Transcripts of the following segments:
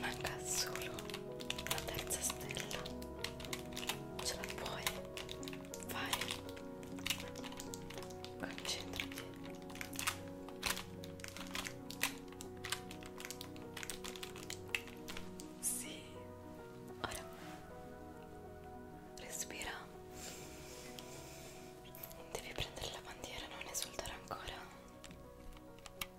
manca solo la terza stella ce la puoi fare concentrati sì ora respira devi prendere la bandiera non esultare ancora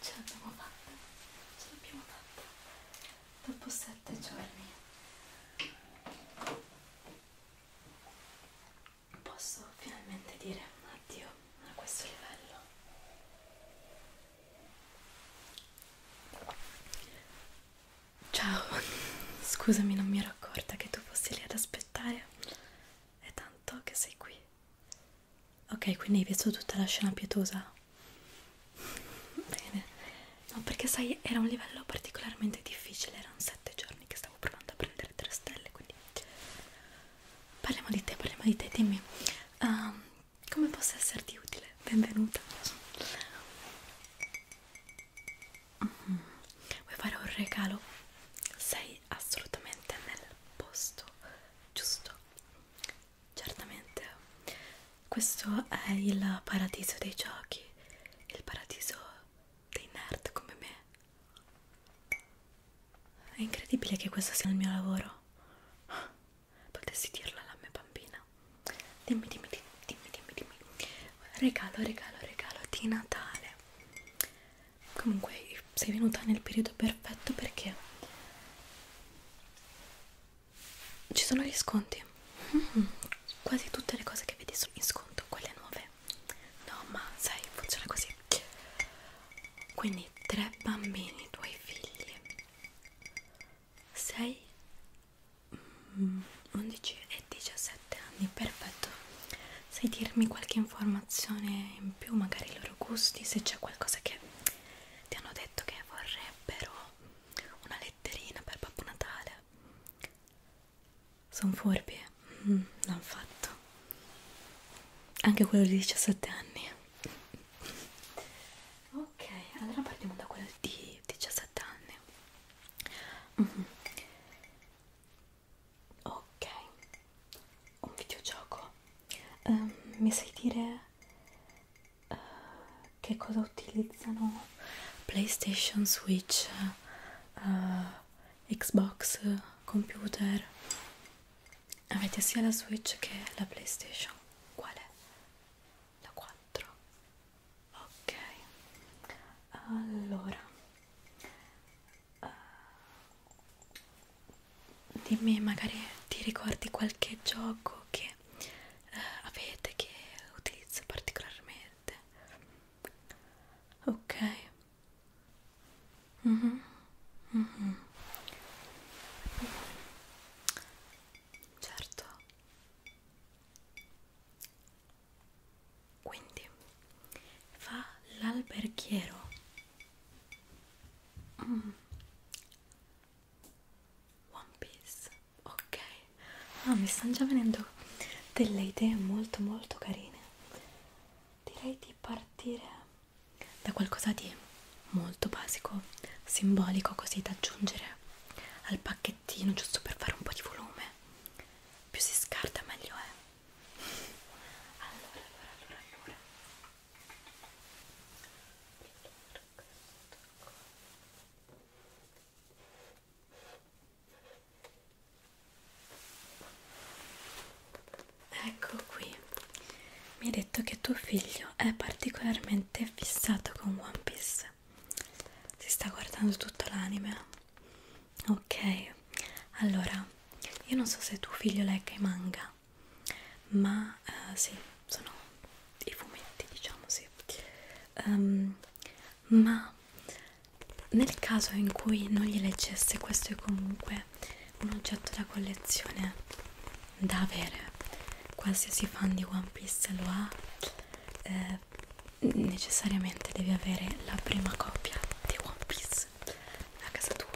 ce l'abbiamo fatta ce l'abbiamo fatta dopo sette giorni posso finalmente dire un addio a questo livello ciao scusami non mi ero accorta che tu fossi lì ad aspettare è tanto che sei qui Ok, quindi hai visto tutta la scena pietosa? Bene. No, perché sai, era un livello particolarmente difficile, erano sette giorni che stavo provando a prendere tre stelle, quindi... Parliamo di te, parliamo di te, dimmi. Um, come posso esserti utile? Benvenuta. Mm. Vuoi fare un regalo? Sei assolutamente nel posto giusto certamente questo è il paradiso dei giochi il paradiso dei nerd come me è incredibile che questo sia il mio lavoro potessi dirlo alla mia bambina dimmi dimmi dimmi dimmi dimmi, dimmi. regalo regalo regalo di Natale comunque sei venuta nel periodo perfetto perché ci sono gli sconti mm -hmm. quasi tutte le cose che vedi sono in sconto quelle nuove no ma sai funziona così quindi tre bambini tuoi figli 6 11 mm, e 17 anni perfetto sai dirmi qualche informazione in più magari i loro gusti se c'è qualcosa che ti hanno detto che vorrebbero una letterina per Babbo Natale. Sono furbi, eh. mm, l'hanno fatto. Anche quello di 17 anni. Ok, allora partiamo da quello di 17 anni. Mm. Ok, un videogioco. Um, mi sai dire uh, che cosa utilizzano PlayStation, Switch, uh, Xbox, computer. Avete sia la Switch che la PlayStation. Qual è? La 4. Ok. Allora. Uh, dimmi magari ti ricordi qualche gioco che eh, avete che utilizzo particolarmente ok mm -hmm. Mm -hmm. certo quindi fa l'alberghiero mm. One Piece ok ah, mi stanno già venendo delle idee molto molto carine direi di partire da qualcosa di molto basico simbolico così da aggiungere al pacchettino giusto per fare un po' di volume più si scarta meglio è allora allora allora allora Ecco qui, mi hai detto che tuo figlio è particolarmente fissato con One Piece, si sta guardando tutto l'anime. Ok, allora, io non so se tuo figlio legga i manga, realtà ma uh, sì sono i fumetti diciamo sì um, ma nel caso in cui non li leggesse questo è comunque un oggetto da collezione da avere qualsiasi fan di One Piece lo ha eh, necessariamente devi avere la prima copia di One Piece a casa tua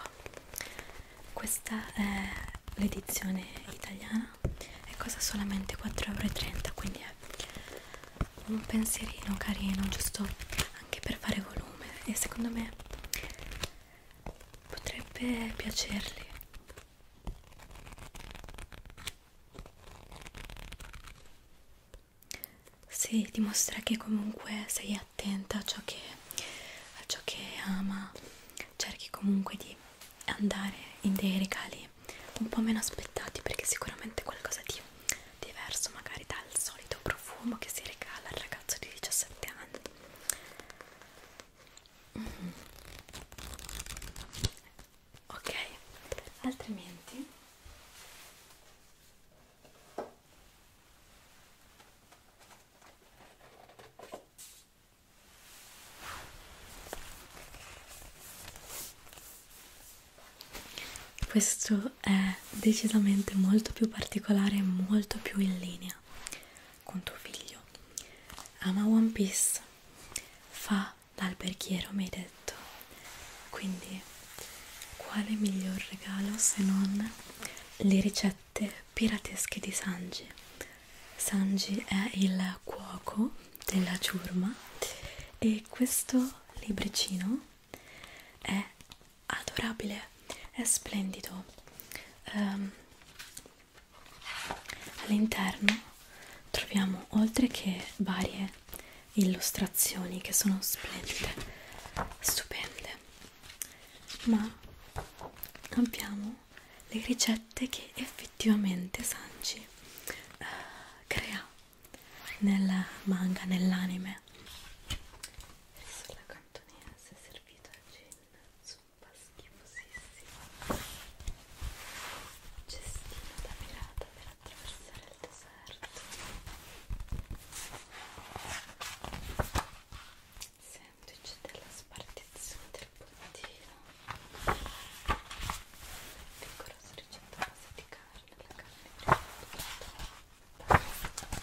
questa è l'edizione italiana e costa solamente 4,30€ quindi è un pensierino carino giusto anche per fare volume e secondo me potrebbe piacerli si dimostra che comunque sei attenta a ciò che, a ciò che ama cerchi comunque di andare in dei regali un po' meno aspettati perché sicuramente qualcosa di diverso magari dal solito profumo che si regala al ragazzo di 17 anni mm. ok altrimenti questo è decisamente molto più particolare e molto più in linea con tuo figlio. Ama One Piece, fa l'alberghiero, mi hai detto. Quindi, quale miglior regalo se non le ricette? ricette piratesche di Sanji. Sanji è il cuoco della ciurma e questo libricino è adorabile, è splendido. Um, All'interno troviamo oltre che varie illustrazioni che sono splendide, stupende, ma abbiamo le ricette che effettivamente Sanji uh, eh, crea nel manga, nell'anime sulla cantonese servito al gin zuppa schifosissima cestino da pirata per attraversare il deserto semplice della spartizione del puntino vigorosa ricetta base di carne la carne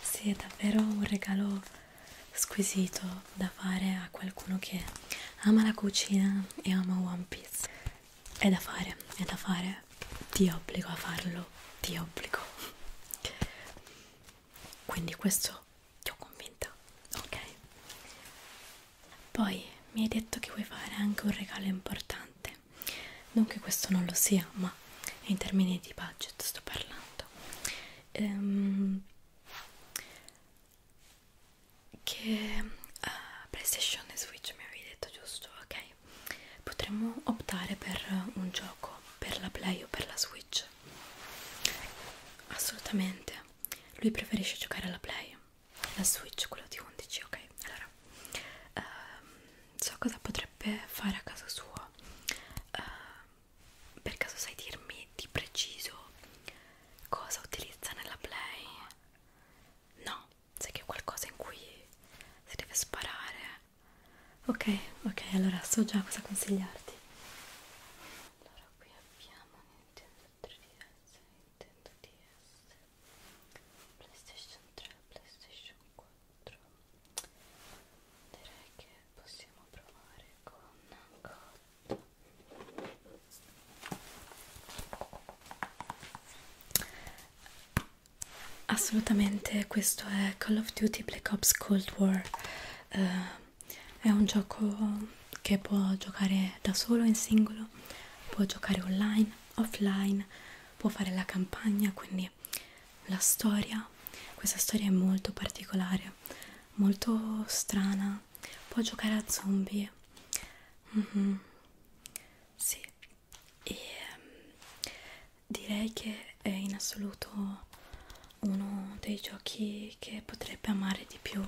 sì, è davvero un regalo squisito da fare a qualcuno che ama la cucina e ama One Piece. È da fare, è da fare. Ti obbligo a farlo, ti obbligo. Quindi questo ti ho convinta, ok? Poi mi hai detto che vuoi fare anche un regalo importante. Non che questo non lo sia, ma in termini di budget sto parlando. Ehm, che uh, PlayStation e Switch mi avevi detto giusto, ok? Potremmo optare per un gioco per la Play o per la Switch? Assolutamente, lui preferisce giocare alla Play, la Switch, quello di 11, ok? Allora, uh, so cosa potrebbe fare a casa sua. Uh, per caso sai dirmi di preciso cosa utilizza nella play? No, sai che è qualcosa in cui si deve sparare. Ok, ok, allora so già cosa consigliarti. Allora qui abbiamo Nintendo 3DS, Nintendo DS, PlayStation 3, PlayStation 4. Direi che possiamo provare con cotto assolutamente questo è Call of Duty Black Ops Cold War uh, è un gioco che può giocare da solo in singolo può giocare online offline può fare la campagna quindi la storia realtà questa storia è molto particolare, molto strana, può giocare a zombie. Mm -hmm. Sì, e um, direi che è in assoluto uno dei giochi che potrebbe amare di più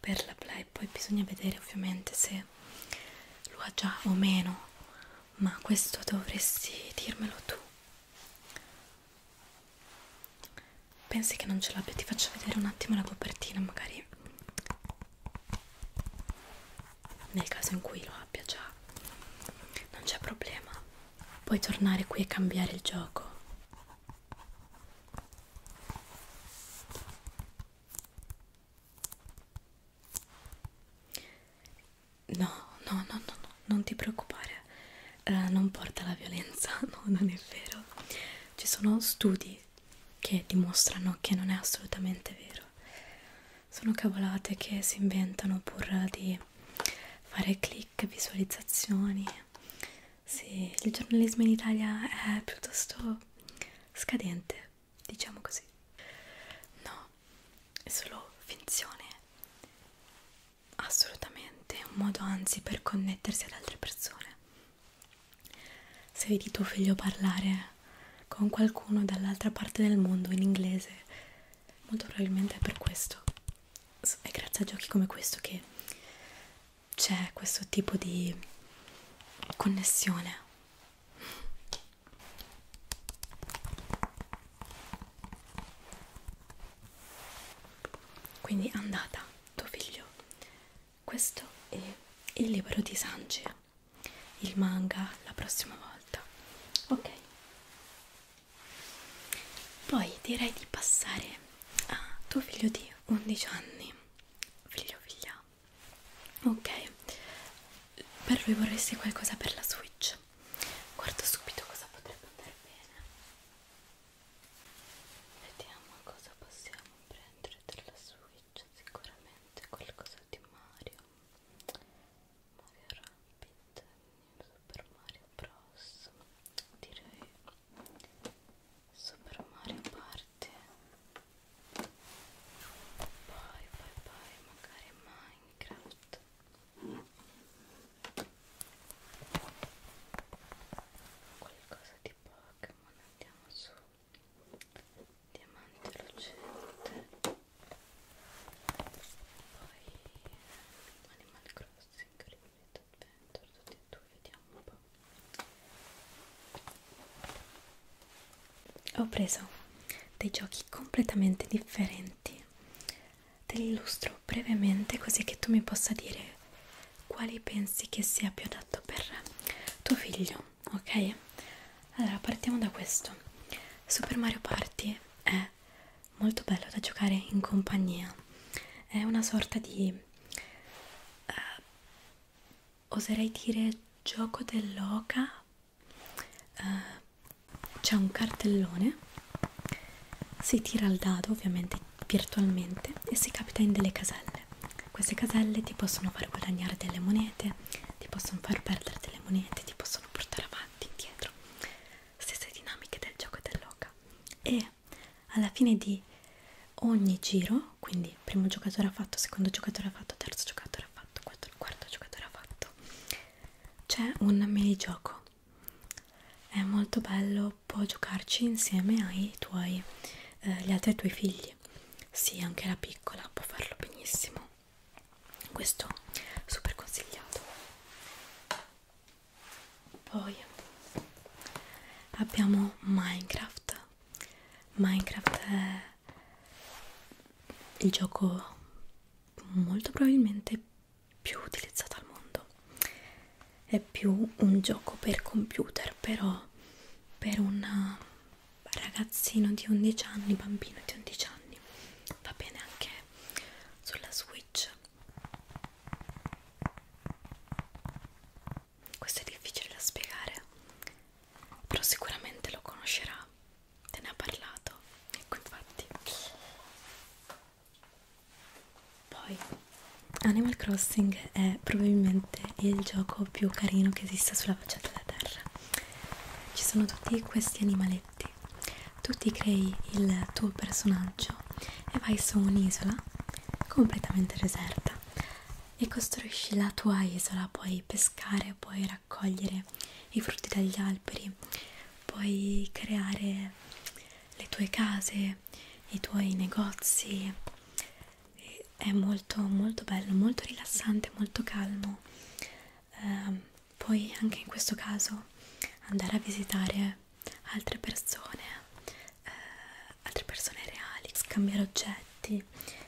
per la play. Poi bisogna vedere ovviamente se lo ha già o meno, ma questo dovresti dirmelo tu. Pensi che non ce l'abbia? Ti faccio vedere un attimo la copertina, magari nel caso in cui lo abbia già, non c'è problema. Puoi tornare qui e cambiare il gioco. No, no, no, no, no non ti preoccupare, eh, non porta alla violenza, no, non è vero. Ci sono studi che dimostrano che non è assolutamente vero. Sono cavolate che si inventano pur di fare click, visualizzazioni. Sì, il giornalismo in Italia è piuttosto scadente, diciamo così. No, è solo finzione assolutamente un modo anzi per connettersi ad altre persone se vedi tuo figlio parlare con qualcuno dall'altra parte del mondo in inglese molto probabilmente è per questo è grazie a giochi come questo che c'è questo tipo di connessione quindi andata tuo figlio questo è il libro di Sanji il manga la prossima volta ok poi direi di passare a tuo figlio di 11 anni figlio figlia ok per lui vorresti qualcosa per la switch guarda subito cosa potrebbe andare bene Vediamo cosa possiamo prendere dalla Switch, sicuramente qualcosa di Mario. Mario Rabbit, Super Mario Bros. Direi Super Mario Party. Poi, poi, poi magari Minecraft qualcosa di Pokémon andiamo su diamante lucente poi Animal Crossing Limited Adventure tutti e due vediamo un po' ho preso dei giochi completamente differenti te li illustro brevemente così che tu mi possa dire quali pensi che sia più adatto per tuo figlio, ok? Allora partiamo da questo. Super Mario Party è molto bello da giocare in compagnia, è una sorta di, eh, oserei dire, gioco dell'oca. Eh, C'è un cartellone si tira il dado ovviamente virtualmente e si capita in delle caselle. Queste caselle ti possono far guadagnare delle monete, ti possono far perdere delle monete, ti possono portare avanti, indietro. Stesse dinamiche del gioco dell'oca. E alla fine di ogni giro, quindi primo giocatore ha fatto, secondo giocatore ha fatto, terzo giocatore ha fatto, quarto, quarto giocatore ha fatto, c'è un minigioco è molto bello può giocarci insieme ai tuoi eh, gli altri tuoi figli sì anche la piccola può farlo benissimo questo super consigliato poi abbiamo minecraft minecraft è il gioco molto probabilmente più utilizzata al mondo è più un gioco per computer però per un eh, ragazzino di 11 anni bambino di 11 anni va bene anche sulla switch questo è difficile da spiegare però sicuramente lo conoscerà te ne ha parlato ecco infatti poi Animal Crossing è probabilmente il gioco più carino che esista sulla faccia della terra. Ci sono tutti questi animaletti, tu ti crei il tuo personaggio e vai su un'isola completamente deserta e costruisci la tua isola, puoi pescare, puoi raccogliere i frutti dagli alberi, puoi creare le tue case, i tuoi negozi. È molto molto bello, molto rilassante, molto calmo. Eh, poi anche in questo caso andare a visitare altre persone, eh, altre persone reali, scambiare oggetti,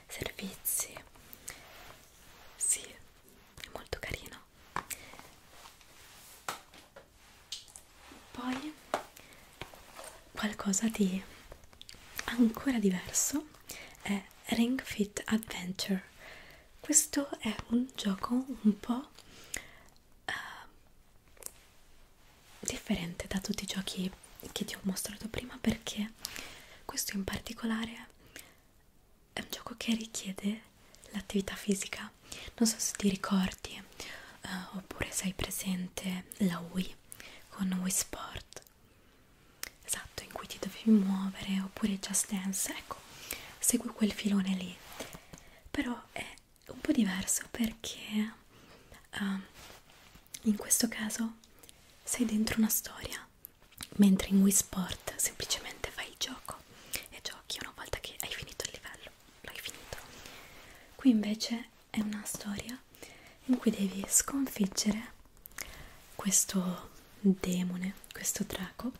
servizi. Sì, è molto carino poi qualcosa di ancora diverso è Ring Fit Adventure questo è un gioco un po' uh, differente da tutti i giochi che ti ho mostrato prima perché questo in particolare è un gioco che richiede l'attività fisica non so se ti ricordi eh, oppure sei presente la Wii con Wii Sport esatto in cui ti dovevi muovere oppure Just Dance ecco segui quel filone lì però è un po' diverso perché eh, in questo caso sei dentro una storia mentre in Wii Sport semplicemente fai il gioco e giochi una volta che hai finito il livello l'hai finito. Qui invece è una storia in cui devi sconfiggere questo demone, questo drago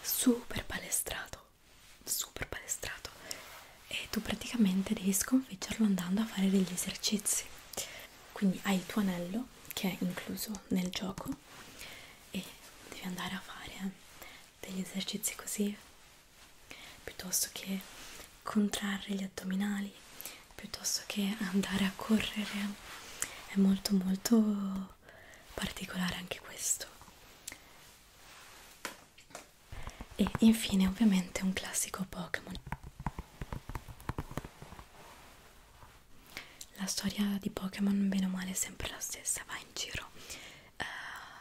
super palestrato, super palestrato e tu praticamente devi sconfiggerlo andando a fare degli esercizi. Quindi hai il tuo anello che è incluso nel gioco e devi andare a fare degli esercizi così piuttosto che contrarre gli addominali piuttosto che andare a correre è molto molto particolare anche questo e infine ovviamente un classico Pokémon la storia di Pokémon bene o male è sempre la stessa va in giro eh,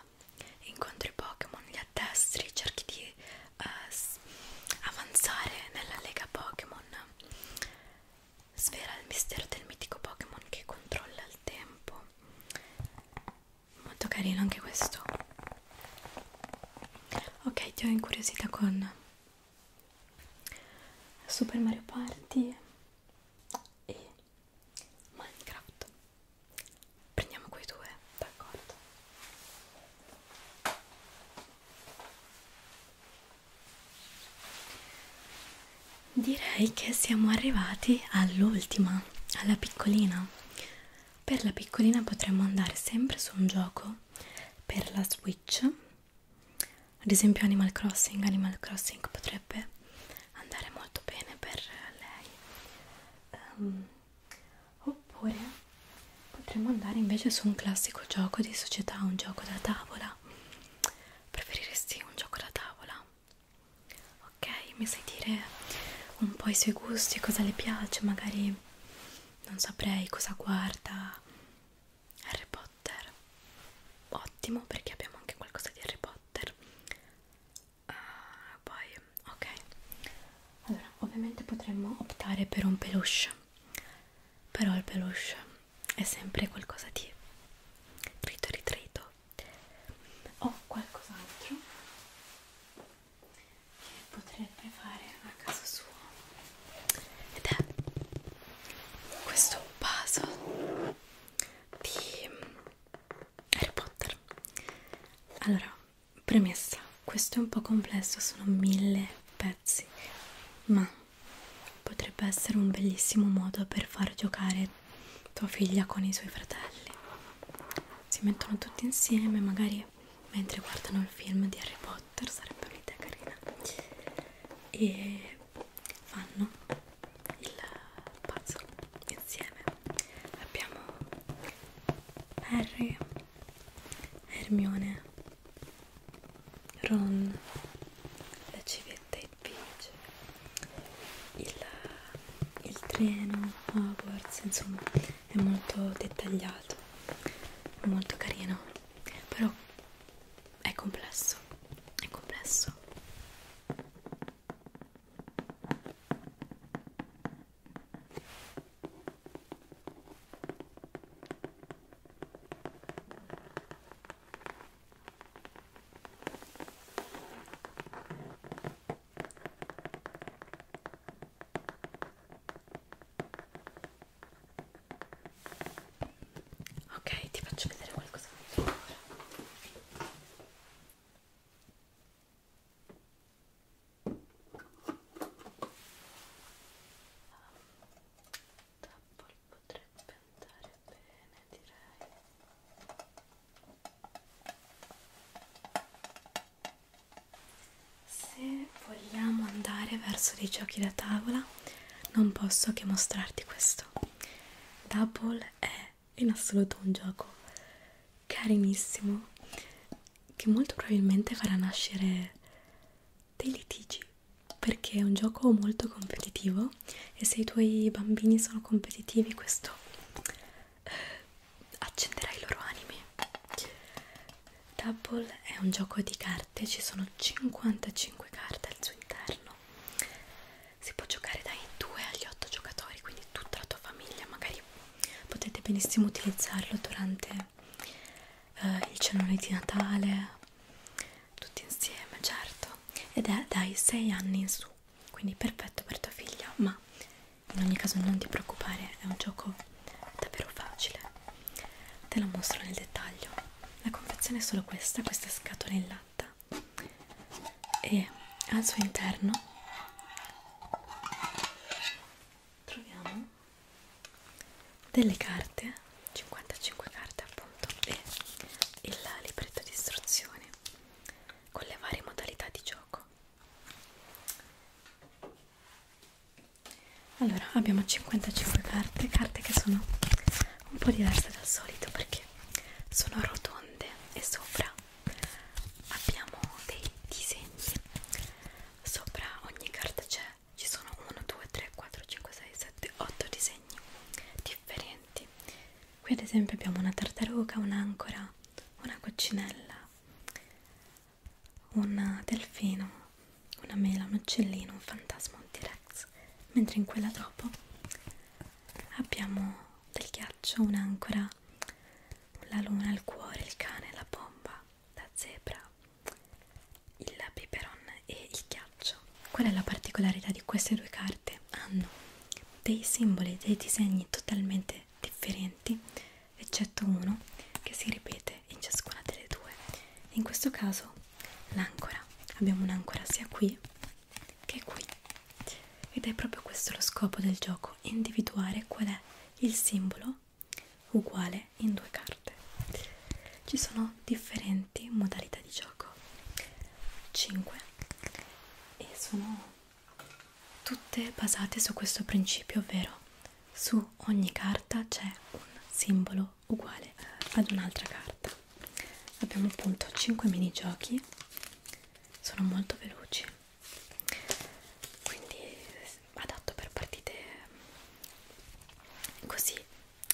incontri Pokémon, li addestri, cerchi di eh, avanzare nella lega Pokémon. Svela il mistero del mitico Pokémon che controlla il tempo. Molto carino anche questo. Ok, ti ho incuriosita con Super Mario Party e Minecraft prendiamo quei due d'accordo direi che siamo arrivati all'ultima alla piccolina per la piccolina potremmo andare sempre su un gioco per la switch ad esempio Animal Crossing Animal Crossing potrebbe andare molto bene per lei um, oppure potremmo andare invece su un classico gioco di società un gioco da tavola preferiresti un gioco da tavola ok mi sai dire un po' i suoi gusti cosa le piace magari non saprei cosa guarda Harry Potter ottimo perché abbiamo anche qualcosa di Harry Potter uh, poi ok allora ovviamente potremmo optare per un peluche però il peluche è sempre qualcosa di trito ritrito o qualcos'altro che potrebbe fare a caso suo ed è questo puzzle di Harry Potter allora premessa questo è un po' complesso sono mille pezzi ma potrebbe essere un bellissimo modo per far giocare tua figlia con i suoi fratelli si mettono tutti insieme magari mentre guardano il film di Harry Potter sarebbe un'idea carina e fanno il puzzle insieme abbiamo Harry Hermione Ron la civetta e Peach il, il treno Hogwarts insomma è molto dettagliato è molto carino però è complesso è complesso Ok, ti faccio vedere qualcosa ancora. Double potrebbe andare bene, direi. Se vogliamo andare verso dei giochi da tavola, non posso che mostrarti questo. Double è in assoluto un gioco carinissimo che molto probabilmente farà nascere dei litigi perché è un gioco molto competitivo e se i tuoi bambini sono competitivi questo eh, accenderà i loro animi Double è un gioco di carte, ci sono 55 carte al suo interno si può giocare dai 2 agli 8 giocatori quindi tutta la tua famiglia magari potete benissimo utilizzarlo durante eh, il cenone di Natale tutti insieme certo ed è dai 6 anni in su quindi perfetto per tua figlia ma in ogni caso non ti preoccupare è un gioco davvero facile te lo mostro nel dettaglio la confezione è solo questa questa scatola in latta e al suo interno troviamo delle carte 55 carte appunto e il libretto di istruzioni con le varie modalità di gioco allora abbiamo 55 carte carte che sono un po' diverse dal solito perché sono rotonde e sopra abbiamo dei disegni sopra ogni carta c'è ci sono 1 2 3 4 5 6 7 8 disegni differenti qui ad esempio abbiamo una tartaruga un'ancora una coccinella un delfino una mela un uccellino un fantasma un t-rex mentre in quella dopo abbiamo del ghiaccio, un'ancora, la luna, il cuore, il cane, la bomba, la zebra, il peperon e il ghiaccio. Qual è la particolarità di queste due carte? Hanno dei simboli, dei disegni totalmente differenti, eccetto uno che si ripete in ciascuna delle due. In questo caso l'àncora, abbiamo un'ancora sia qui che è qui ed è proprio questo lo scopo del gioco individuare qual è il simbolo uguale in due carte ci sono differenti modalità di gioco 5 e sono tutte basate su questo principio ovvero su ogni carta c'è un simbolo uguale ad un'altra carta abbiamo appunto 5 minigiochi sono molto veloci quindi eh, adatto per partite mm, così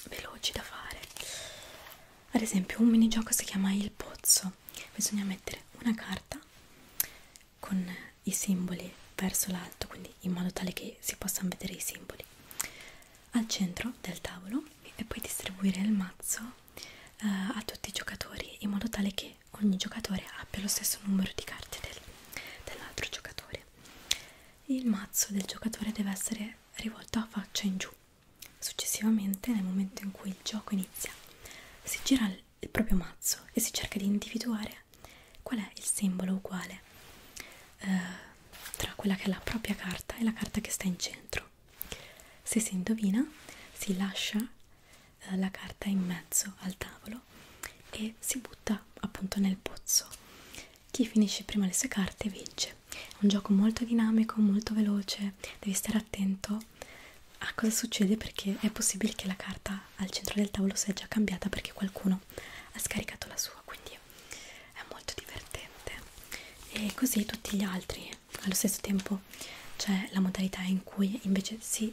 veloci da fare ad esempio un minigioco si chiama il pozzo bisogna mettere una carta con i simboli verso l'alto quindi in modo tale che si possano vedere i simboli al centro del tavolo e poi distribuire il mazzo eh, a tutti i giocatori in modo tale che ogni giocatore abbia lo stesso numero di carte del, dell'altro giocatore. Il mazzo del giocatore deve essere rivolto a faccia in giù. Successivamente, nel momento in cui il gioco inizia, si gira il proprio mazzo e si cerca di individuare qual è il simbolo uguale eh, tra quella che è la propria carta e la carta che sta in centro. Se si indovina, si lascia eh, la carta in mezzo al tavolo e si butta appunto nel pozzo. Chi finisce prima le sue carte vince. È un gioco molto dinamico, molto veloce, devi stare attento a cosa succede perché è possibile che la carta al centro del tavolo sia già cambiata perché qualcuno ha scaricato la sua, quindi è molto divertente. E così tutti gli altri allo stesso tempo c'è la modalità in cui invece si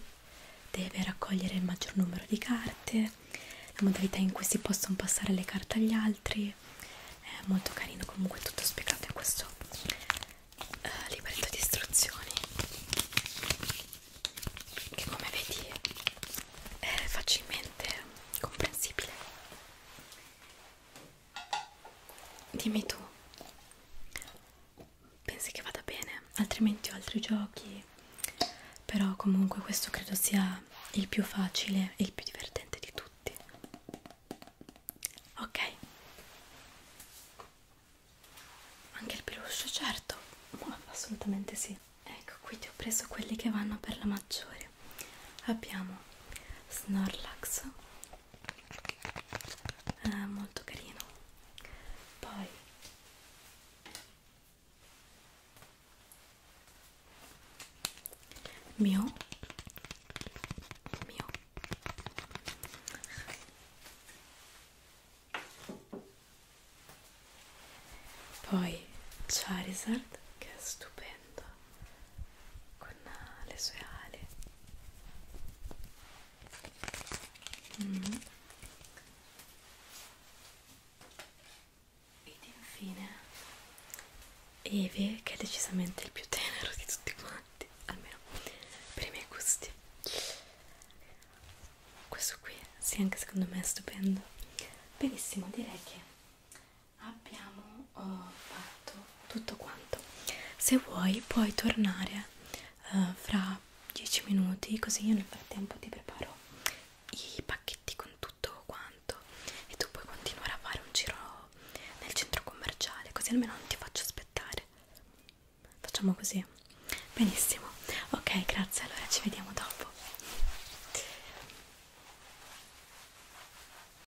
deve raccogliere il maggior numero di carte, la modalità in cui si possono passare le carte agli altri, è molto carino comunque tutto spiegato in questo eh, libretto di istruzioni che come vedi è facilmente comprensibile Dimmi tu, pensi che vada bene? Altrimenti ho altri giochi, però comunque questo credo sia il più facile e il più divertente di tutti. Ok. Anche il peluche, certo, assolutamente sì. Ecco, qui ti ho preso quelli che vanno per la maggiore. Abbiamo Snorlax, eh, molto carino poi mio mio poi Charizard che è stupendo volendo con le sue ali mm. ed infine Eve che è decisamente il più tenero di tutti quanti almeno per i miei gusti questo qui sì anche secondo me è stupendo benissimo direi che abbiamo oh, fatto tutto quanto se vuoi puoi tornare eh, fra 10 minuti così io nel frattempo ti preparo i pacchetti con tutto quanto e tu puoi continuare a fare un giro nel centro commerciale così almeno non ti faccio aspettare facciamo così benissimo ok grazie allora ci vediamo dopo